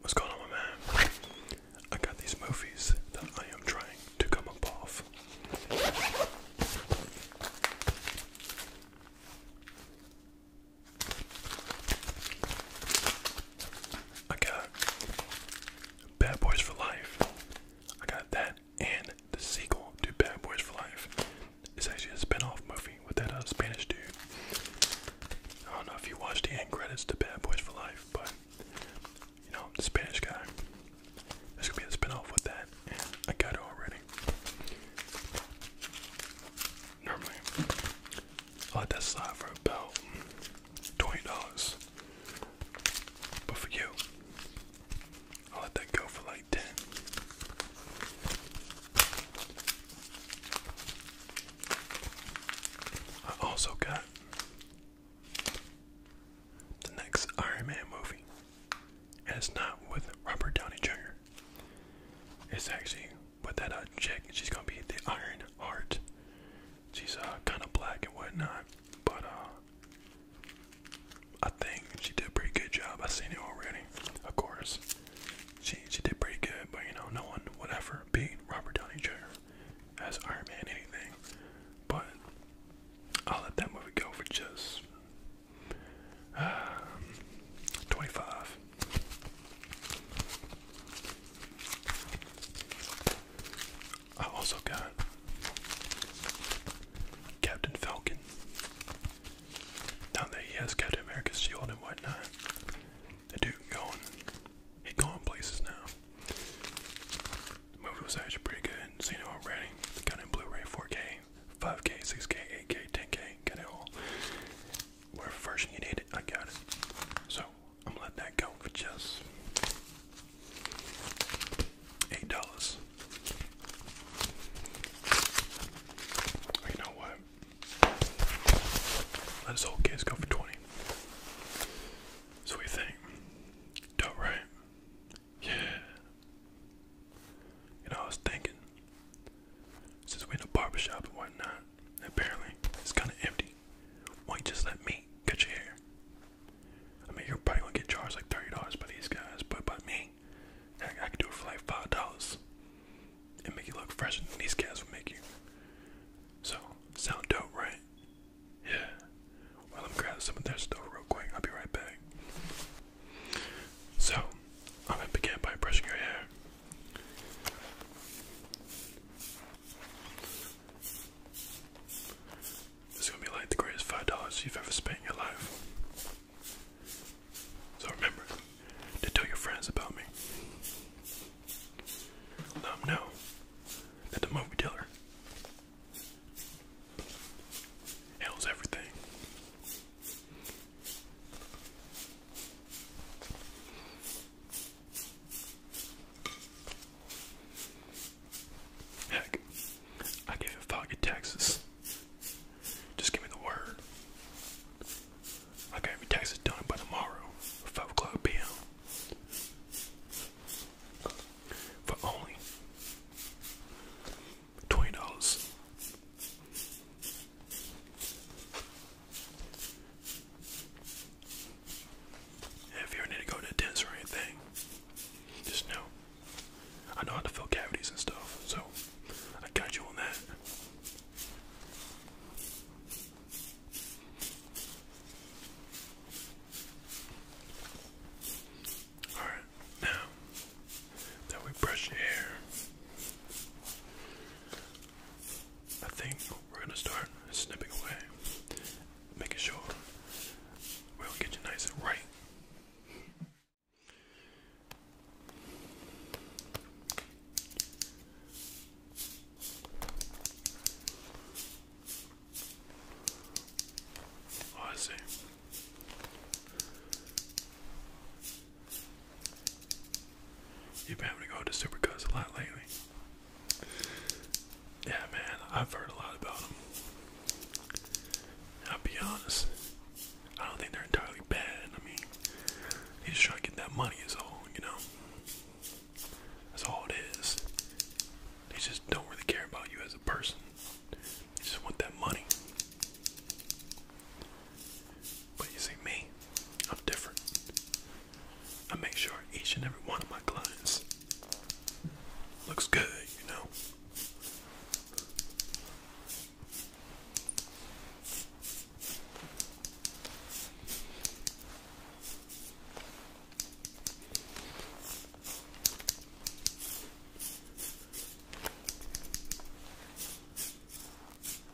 What's going on, my man? I got these movies that I am trying to come up off. I got Bad Boys for Life. I got that and the sequel to Bad Boys for Life. It's actually a spin-off movie with that Spanish dude. I don't know if you watched the end credits to Bad Boys for Life, but you know, the Spanish guy. There's gonna be a spin-off with that, and I got it already. Normally, I'll let that slide for about $20. But for you, I'll let that go for like 10 I also got the next Iron Man movie. And it's not with Robert Downey Jr. It's actually with that uh, chick. She's gonna be the Iron Heart. She's uh, kind of black and whatnot, but uh, I think she did a pretty good job. I have seen it already, of course. She she did pretty good, but you know, no one would ever beat Robert Downey Jr. as Iron Man anything. But I'll let that movie go for just uh, 25. I also got Captain Falcon. Now that he has Captain America's shield and whatnot, the dude going, he going places now. movie was actually pretty good. Seen it already. Got it in Blu-ray, 4K, 5K, 6K, 8K, 10K. Got it all. Whatever version you need it, I got it. So I'm gonna let that go for just eight dollars. You know what? Let us whole kids go for twenty. So we think, dope, right? Yeah. You know, I was thinking, since we're in a barbershop and whatnot, apparently it's kind of empty. Why you just let me cut your hair? I mean, you're probably gonna get charged like thirty dollars by these guys, but by me, I, can do it for like five dollars and make you look fresh. And these guys will make you. So sound dope, right? Yeah. Well, I'm grabbing some of their stuff real quick. I'll be right back. So, I'm gonna begin by brushing your hair. It's gonna be like the greatest five dollars you've ever spent in your life. So remember to tell your friends about me. Let them know that the movie dealer handles everything. Heck, I gave a fuck at Texas. Just give me the word. I gotta be Texas done by tomorrow, 5 o'clock p.m. For only $20. If you ever need to go to the dentist or anything, just know. I know how to fill cavities and stuff, so I got you on that. Alright, now that we brush your hair, I think we're gonna start snipping away making sure we'll get you nice and right. Oh, I see. You've been having to go to Supercuts a lot lately. Yeah, man, I've heard a lot about them. I'll be honest, I don't think they're entirely bad. I mean, they just try to get that money, is all, you know? That's all it is. They just don't really care about you as a person, they just want that money. But you see, me, I'm different. I make sure each and every one of my clients looks good, you know.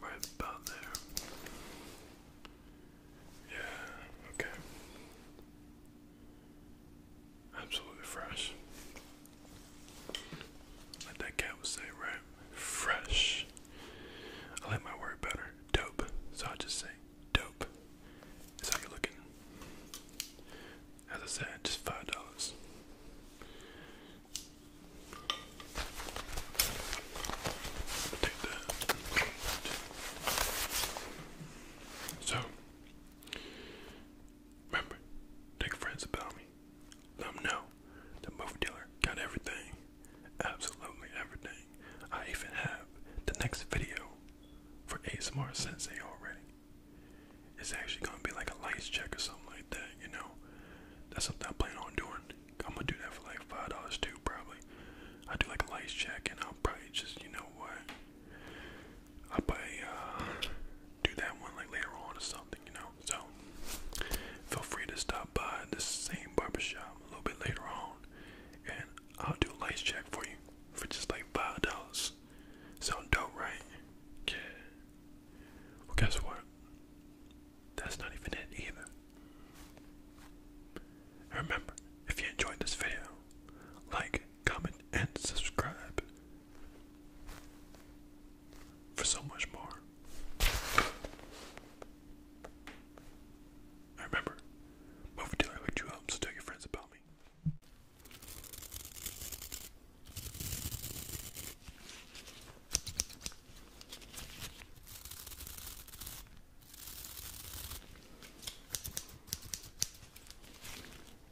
right about there. Yeah, okay. Absolutely fresh. Like that cat say, right? Fresh. I like my word better. Dope. So i just say dope. That's how you looking. As I said, just five dollars. So Remember, tell your friends about me. Let them know the movie dealer got everything. Absolutely everything. I even have the next video for ASMR Sensei already. It's actually gonna be like a lights check or something like that, you know? That's something I plan on doing. I'm gonna do that for like five dollars too, probably. I do like a lights check, and I'll probably just, you know what? I'll buy uh, do that one like later on or something, you know. So feel free to stop by the same barbershop a little bit later on and I'll do a lights check for you for just like five dollars. Sound dope, right? Yeah. Well guess what? That's not even it either. Remember, if you enjoyed this video, like, comment, and subscribe for so much more. I remember, move until I hooked you up, um, tell your friends about me.